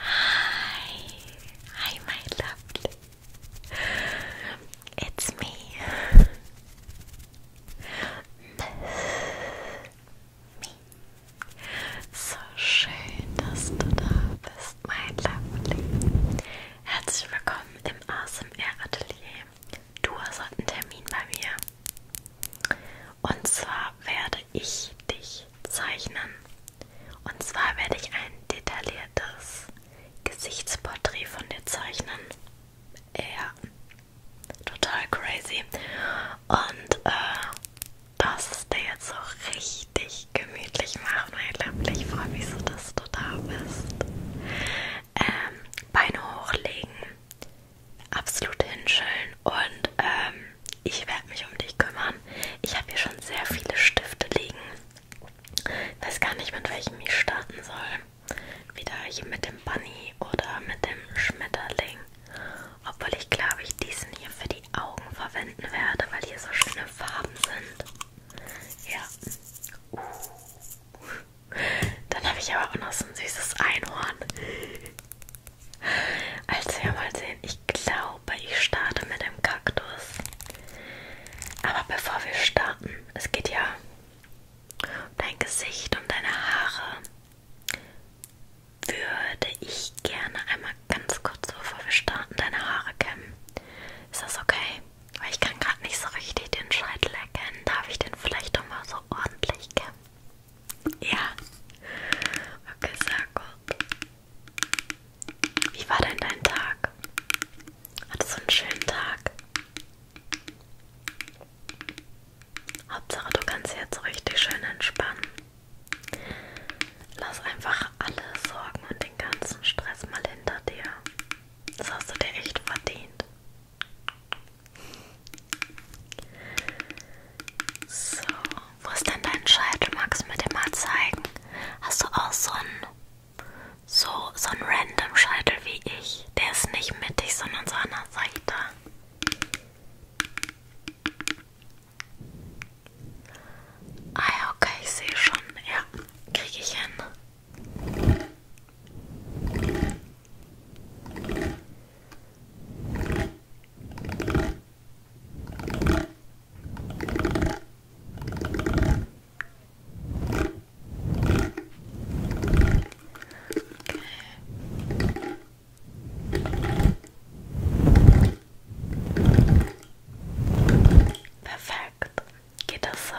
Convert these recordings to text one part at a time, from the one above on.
Hi, hi, my lovely. It's me, Me. So schön, dass du da bist, mein Lovely. Herzlich willkommen im ASMR Atelier. Du hast einen Termin bei mir. Und zwar werde ich dich zeichnen. Und zwar werde ich ein detailliertes Gesichtsporträt von dir zeichnen. Ja, total crazy. Und äh, dass es dir jetzt so richtig gemütlich macht, mein Liebling. Ich freue mich so, dass du da bist. Ähm, Beine hochlegen, absolut hinschillen und ähm, ich werde mich um dich kümmern. Ich habe hier schon sehr viele Stifte liegen. Ich weiß gar nicht, mit welchem ich starten soll. Wieder hier mit dem Bunny oder mit dem Schmetterling. Obwohl ich glaube, ich diesen hier für die Augen verwenden werde, weil hier so schöne Farben sind. Ja. Uh. Dann habe ich aber auch noch so ein süßes Einhorn. Also ja, mal sehen. Ich glaube, ich starte mit dem Kaktus. Aber bevor wir starten, es geht ja um dein Gesicht, um deine Haare würde ich gerne einmal ganz kurz, bevor wir starten, deine Haare kämmen. Ist das okay? Weil ich kann gerade nicht so richtig den Scheitel erkennen. Darf ich den vielleicht doch mal so ordentlich kämmen? Ja. Okay, sehr gut. Wie war denn dein Tag? Hattest du einen schönen Tag? Hauptsache, du kannst jetzt richtig schön entspannen. Lass einfach alle Sorgen und den ganzen Stress mal hinter dir. Das hast du dir echt verdient. So, wo ist denn dein Scheitel? Magst du mir den mal zeigen? Hast du auch so einen, so, so einen random Scheitel wie ich? Der ist nicht mittig, sondern so an der Seite. Ah ja, okay, ich sehe schon. Ja, kriege ich hin. Okay. Perfekt. Geht das so?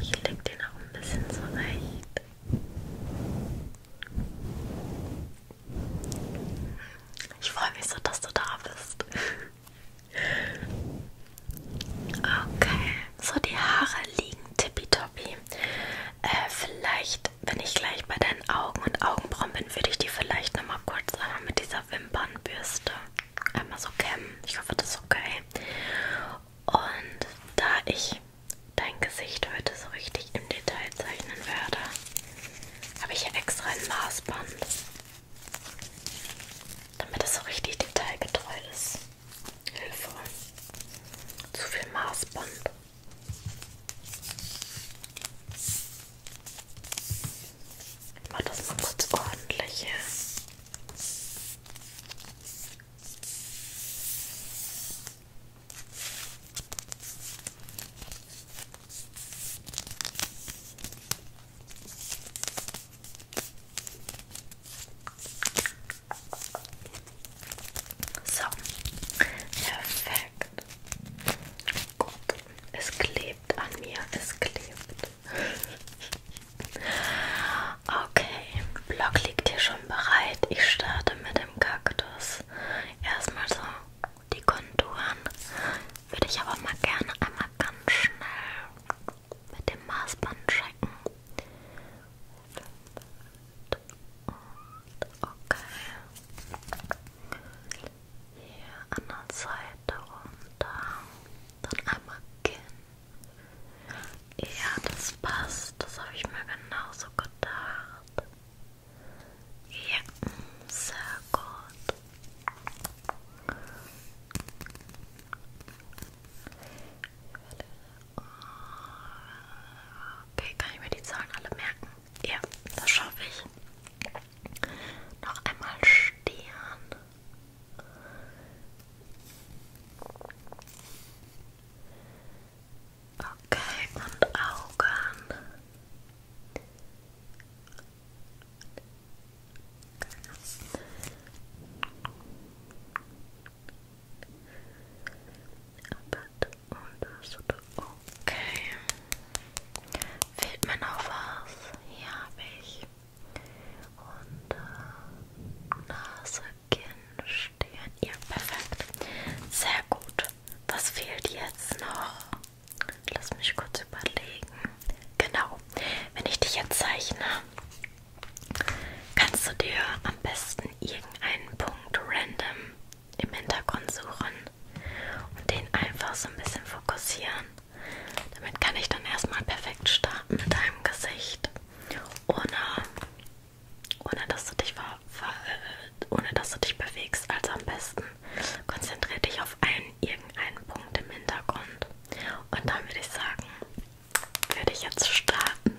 Ich leg den auch ein bisschen zurecht. Ich freue mich so, dass du da bist. Okay, so die Haare liegen tippitoppi. Äh, vielleicht wenn ich gleich bei deinen Augen und Augenbrauen bin, würde ich die vielleicht nochmal kurz einmal mit dieser Wimpernbürste einmal so kämmen. Ich hoffe, das ist okay. Und da ich dein Gesicht heute so richtig im Detail zeichnen werde, habe ich hier extra ein Maßband, damit es so richtig detailgetreu ist. Hilfe. Zu viel Maßband. Ich mach das mal kurz ordentlich her. So, perfekt. Gut, es klebt an mir, es klebt. Okay, Block liegt hier schon bereit. Ich starte mit dem Kaktus. Erstmal so die Konturen. Würde ich aber mal gerne einmal ganz schnell mit dem Maßband checken. Und okay. Hier an der Seite runter. Dann einmal Kinn. Ja, das passt. Das habe ich mir genauso gedacht. Ja, sehr gut. Ich werde Okay, kann ich mir die Zahlen alle merken? Ja, das schaffe ich. Noch einmal Stern. Okay, und Augen. Okay. Und das tut okay. Fehlt mir noch was? Hier habe ich. Und äh, Nase, Kinn, Stirn. Ja, perfekt. Sehr gut. Was fehlt jetzt noch? Lass mich kurz überlegen. Genau. Wenn ich dich jetzt zeichne, kannst du dir am besten irgendeinen Punkt random im Hintergrund suchen und den einfach so ein bisschen fokussieren. Damit kann ich dann erstmal perfekt starten mit deinem Gesicht, ohne, ohne, dass du dich ver, ver, ohne dass du dich bewegst. Also am besten konzentriere dich auf einen, irgendeinen Punkt im Hintergrund. Und dann würde ich sagen, würde ich jetzt starten.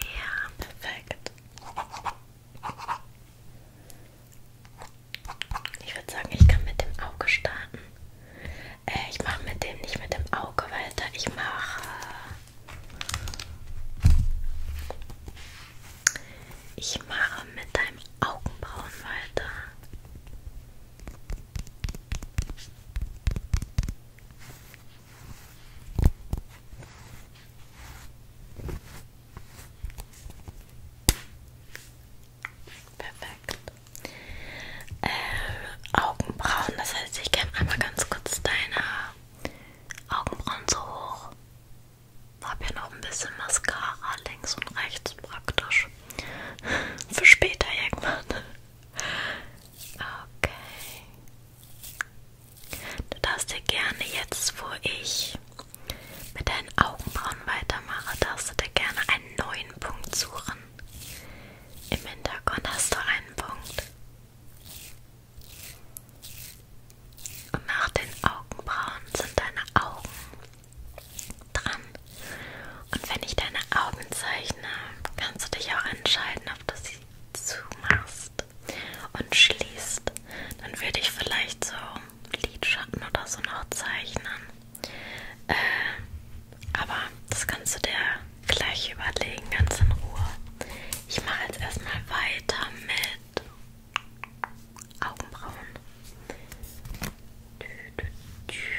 Ja, perfekt. Ich würde sagen, ich kann mit dem Auge starten. Äh, ich mache mit dem nicht mit dem Auge weiter. Ich mache. Ich mache mit deinem Augenbrauen weiter. Perfekt. Äh, Augenbrauen, das heißt, ich kämme einmal ganz kurz deine Augenbrauen so hoch. Ich habe ja noch ein bisschen Mascara links und rechts praktisch. Für später irgendwann. Okay. Du darfst dir gerne jetzt, wo ich mit deinen Augenbrauen weitermache, darfst du dir gerne einen neuen Punkt suchen. Im Hintergrund hast du einen Punkt. Und nach den Augenbrauen sind deine Augen dran. Und wenn ich deine Augen zeichne, kannst du dich auch entscheiden, ob du sie zumachst und schließt. Dann würde ich vielleicht so Lidschatten oder so noch zeichnen. Äh, aber das kannst du dir gleich überlegen, ganz in Ruhe. Ich mache jetzt erstmal weiter mit Augenbrauen. Fit on yes. Okay. okay. Next.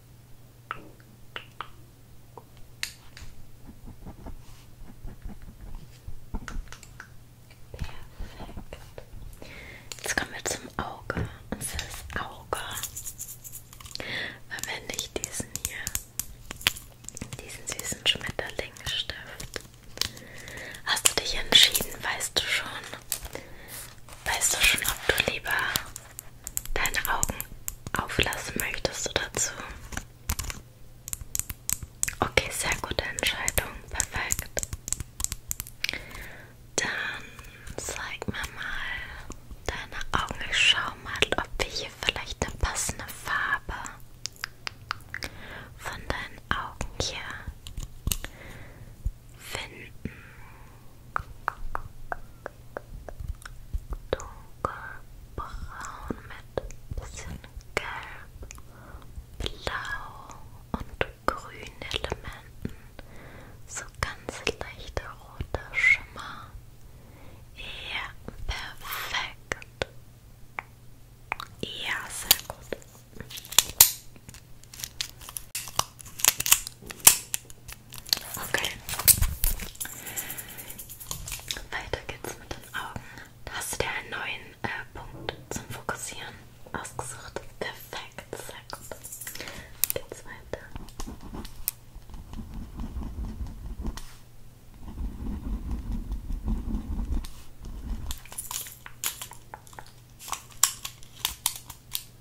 Perfekt. Jetzt kommen wir zum Auge. Und das ist Auge. Verwende ich diesen hier. Diesen süßen Schmetterlingsstift. Hast du dich entschieden, weißt du schon? Weißt du schon, ob du lieber deine Augen auflassen möchtest du dazu. Okay, sehr gute Entscheidung. Perfekt. Dann zeig mir mal deine Augen. Ich schau mal, ob wir hier vielleicht eine passende Farbe von deinen Augen hier finden. Dunkelbraun mit bisschen gelb, blau und grünen Elementen. So ganz leichter roter Schimmer. Ja, perfekt. Ja, sehr gut. Okay. Weiter geht's mit den Augen. Da hast du dir einen neuen äh, Punkt zum Fokussieren ausgesucht. Perfekt, sehr gut. Geht's weiter. Okay.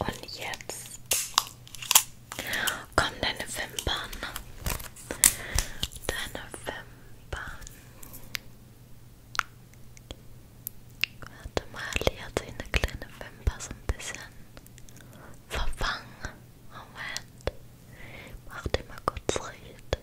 Und jetzt kommen deine Wimpern. Deine Wimpern. Warte mal, die hat sich eine kleine Wimper so ein bisschen verfangen. Moment. Mach die mal kurz richtig.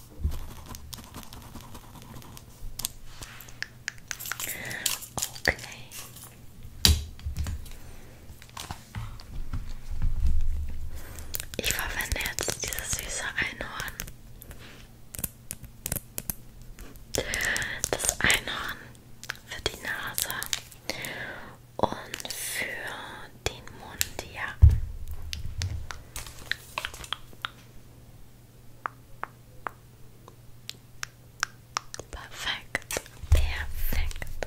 Okay. Ich verwende jetzt dieses süße Einhorn. Das Einhorn für die Nase und für und den Mund, ja. Perfekt, perfekt.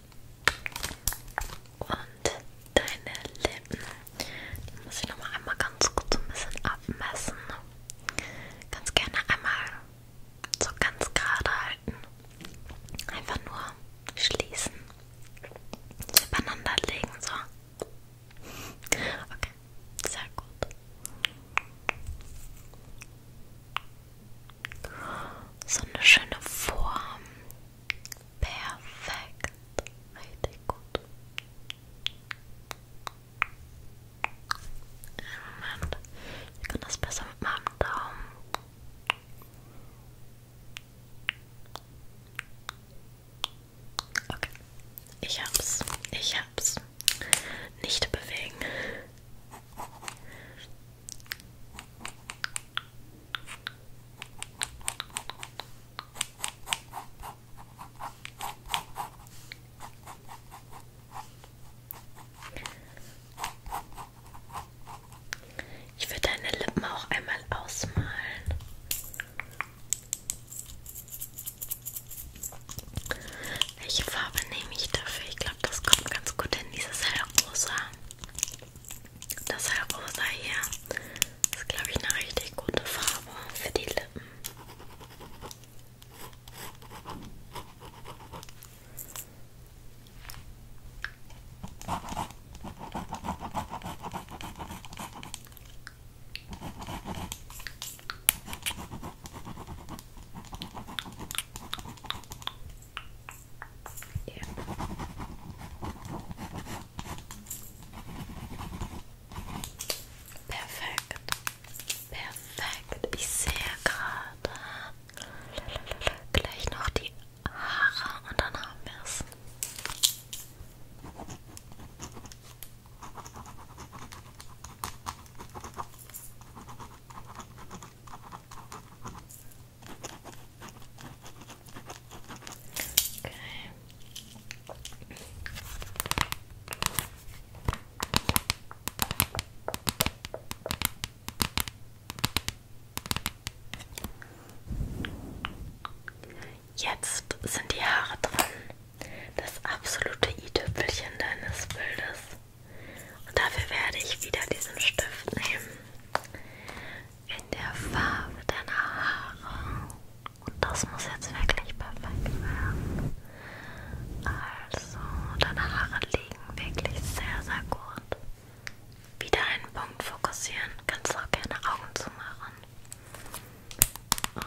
Und deine Lippen. Die muss ich nochmal einmal ganz kurz ein bisschen abmessen. Ganz gerne einmal so ganz gerade halten. Einfach nur schließen. Übereinander legen, so. Okay, sehr gut. So eine schöne Form. Perfekt. Richtig gut. Moment. Ich kann das besser mit meinem Daumen. Okay. Ich hab's. Ich hab's. Nicht bewegen. Ich würde deine Lippen auch einmal ausmalen. Welche Farbe nehme ich dafür? Ich glaube, das kommt ganz gut in dieses hellrosa. Das Rosa hier ist, glaube ich, eine richtig gute Farbe für die Lippen. Yeah. Perfekt. Perfekt. Ich sehe gerade gleich noch die Haare und dann haben wir es. Okay. Jetzt sind die Haare dran. Das absolute i-Tüpfelchen deines Bildes. Und dafür werde ich wieder diesen Stift nehmen. In der Farbe deiner Haare. Und das muss jetzt wirklich perfekt werden. Also, deine Haare liegen wirklich sehr, sehr gut. Wieder einen Punkt fokussieren. Kannst auch gerne Augen zumachen. Und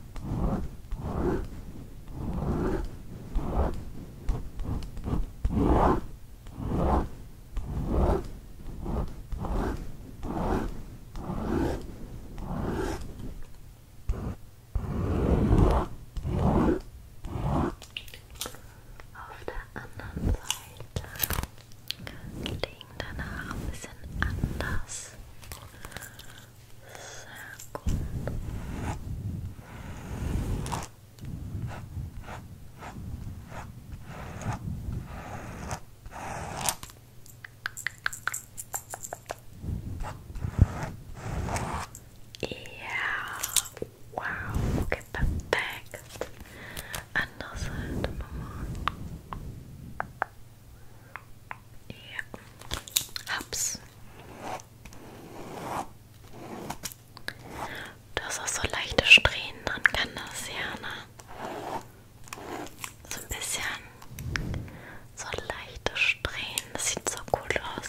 Auf der anderen Seite liegen deine Haare ein anders circled. Yeah, wow, okay, perfect. Another number. Yeah, helps. Du hast auch so leichte Strähnen dran, kann das ja, ne? So ein bisschen so leichte Strähnen, das sieht so cool aus.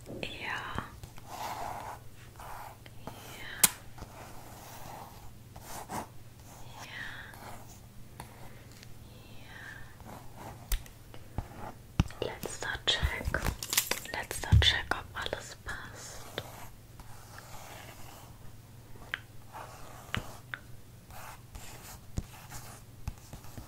Yeah. Yeah. Yeah. Yeah. Letzter Check. Letzter Check, ob alles passt.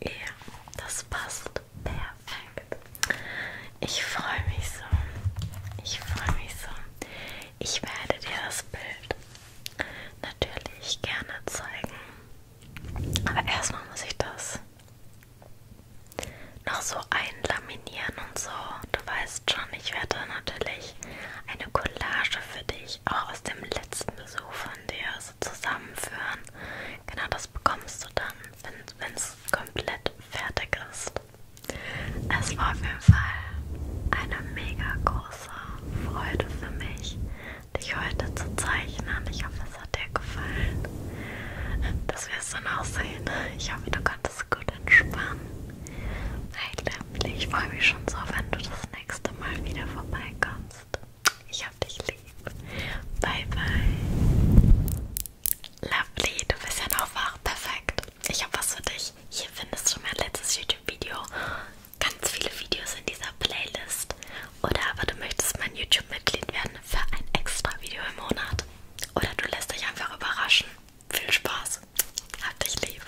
Ja, das passt perfekt. Ich freue mich so. Ich freue mich so. Ich werde dir das Bild natürlich gerne zeigen. Aber erstmal muss ich das noch so einlaminieren und so. Du weißt schon, ich werde natürlich eine Collage für dich auch aus dem letzten Besuch von dir Tasse zusammenführen. Genau das bekommst du dann, wenn es komplett fertig ist. Es war auf jeden Fall eine mega große Freude für mich, dich heute zu zeichnen. Ich hoffe, es hat dir gefallen. Das wirst du noch sehen. Ich hoffe, du konntest gut entspannen. Hey Lampley, ich freue mich schon so, wenn du das nächste Mal wieder vorbeikommst. Ich hab dich lieb. Bye, bye. Lovely, du bist ja noch wach. Perfekt. Ich hab was für dich. Hier findest du mein letztes YouTube-Video. Ganz viele Videos in dieser Playlist. Oder aber du möchtest mein YouTube-Mitglied werden für ein extra Video im Monat. Oder du lässt dich einfach überraschen. Viel Spaß. Hab dich lieb.